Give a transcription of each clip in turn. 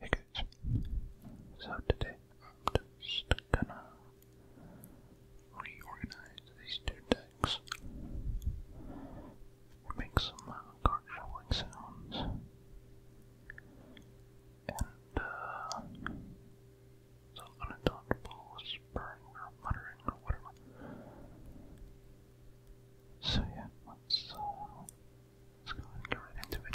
Hey so today I'm just gonna reorganize these two decks, make some uh, card shuffling sounds, and uh, some unattainable spurring or muttering or whatever. So yeah, let's uh, Let's go ahead and get right into it. Right.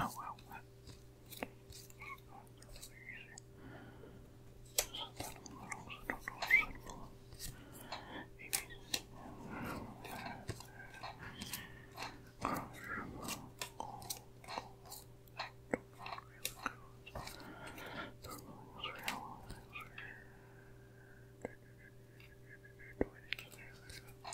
Oh wow. Oh, they're really easy. Set that in the middle so I don't know if it's simple. Maybe.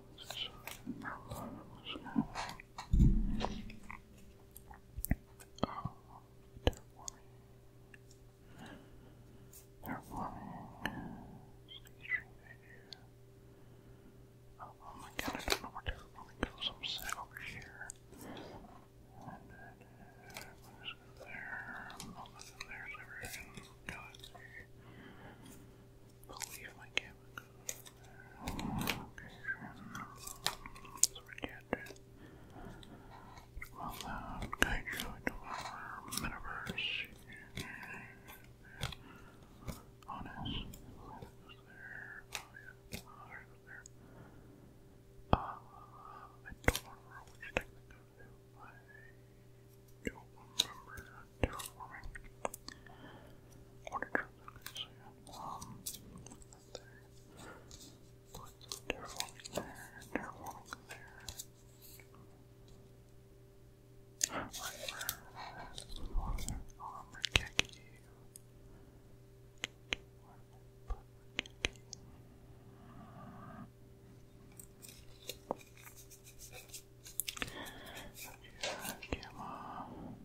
Oh, they're warming. They're warming. Oh, my god, I don't know where they're warming goes. I'm sitting over here. And then, I'm just go there. I'm believe my camera goes over so we get well known kaiju our metaverse. Honest, there. Oh, I don't remember which thing that goes there. I remember terraforming. So you have one right there. Put the Terraforming there, Terraforming there. Right there. Armor Keki. Where did I put Keki? Here, Gamma.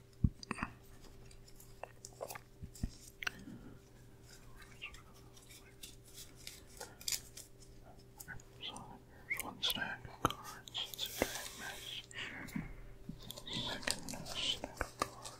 There's one stack of cards. Second stack of cards.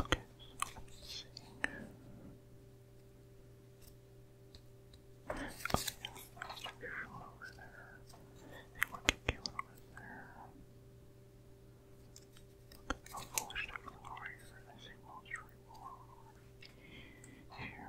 Okay, so let's see. Okay, yeah, over there. They want to over there. Look at how foolish they're over here. They say most right here.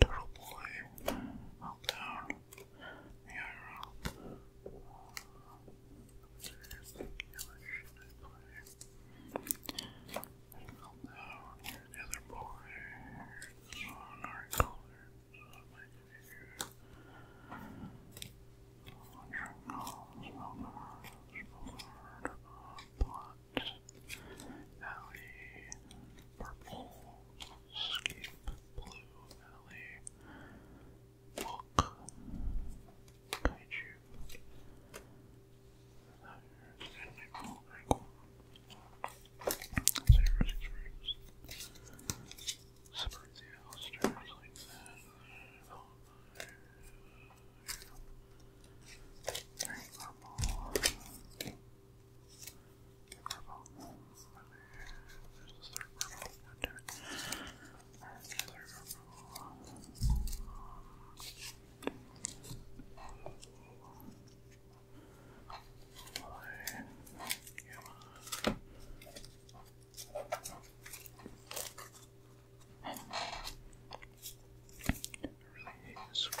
Turtle Boy, Meltdown, Miara. Meltdown, here's the other boy, here's our color, so my Wondering all, got alley, purple, scape, blue, alley, book, kaiju, Separate the alsters like that. Oh, very normal. Get purple. There's the third purple. God damn it. There's the third purple. Yellow. I really hate this switch.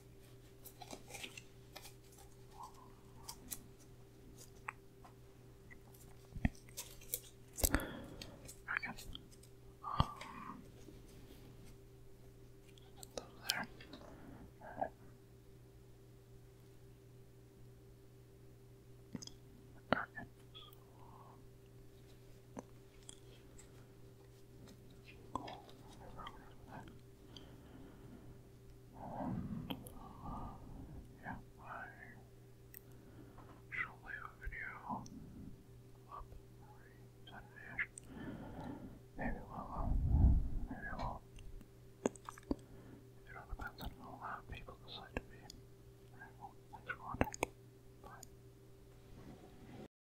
Okay. Um, there. Okay. Cool. And, yeah, I shall leave a video up every sunday Maybe will uh, maybe we'll, it all depends on how people decide to be. thanks for watching. Bye.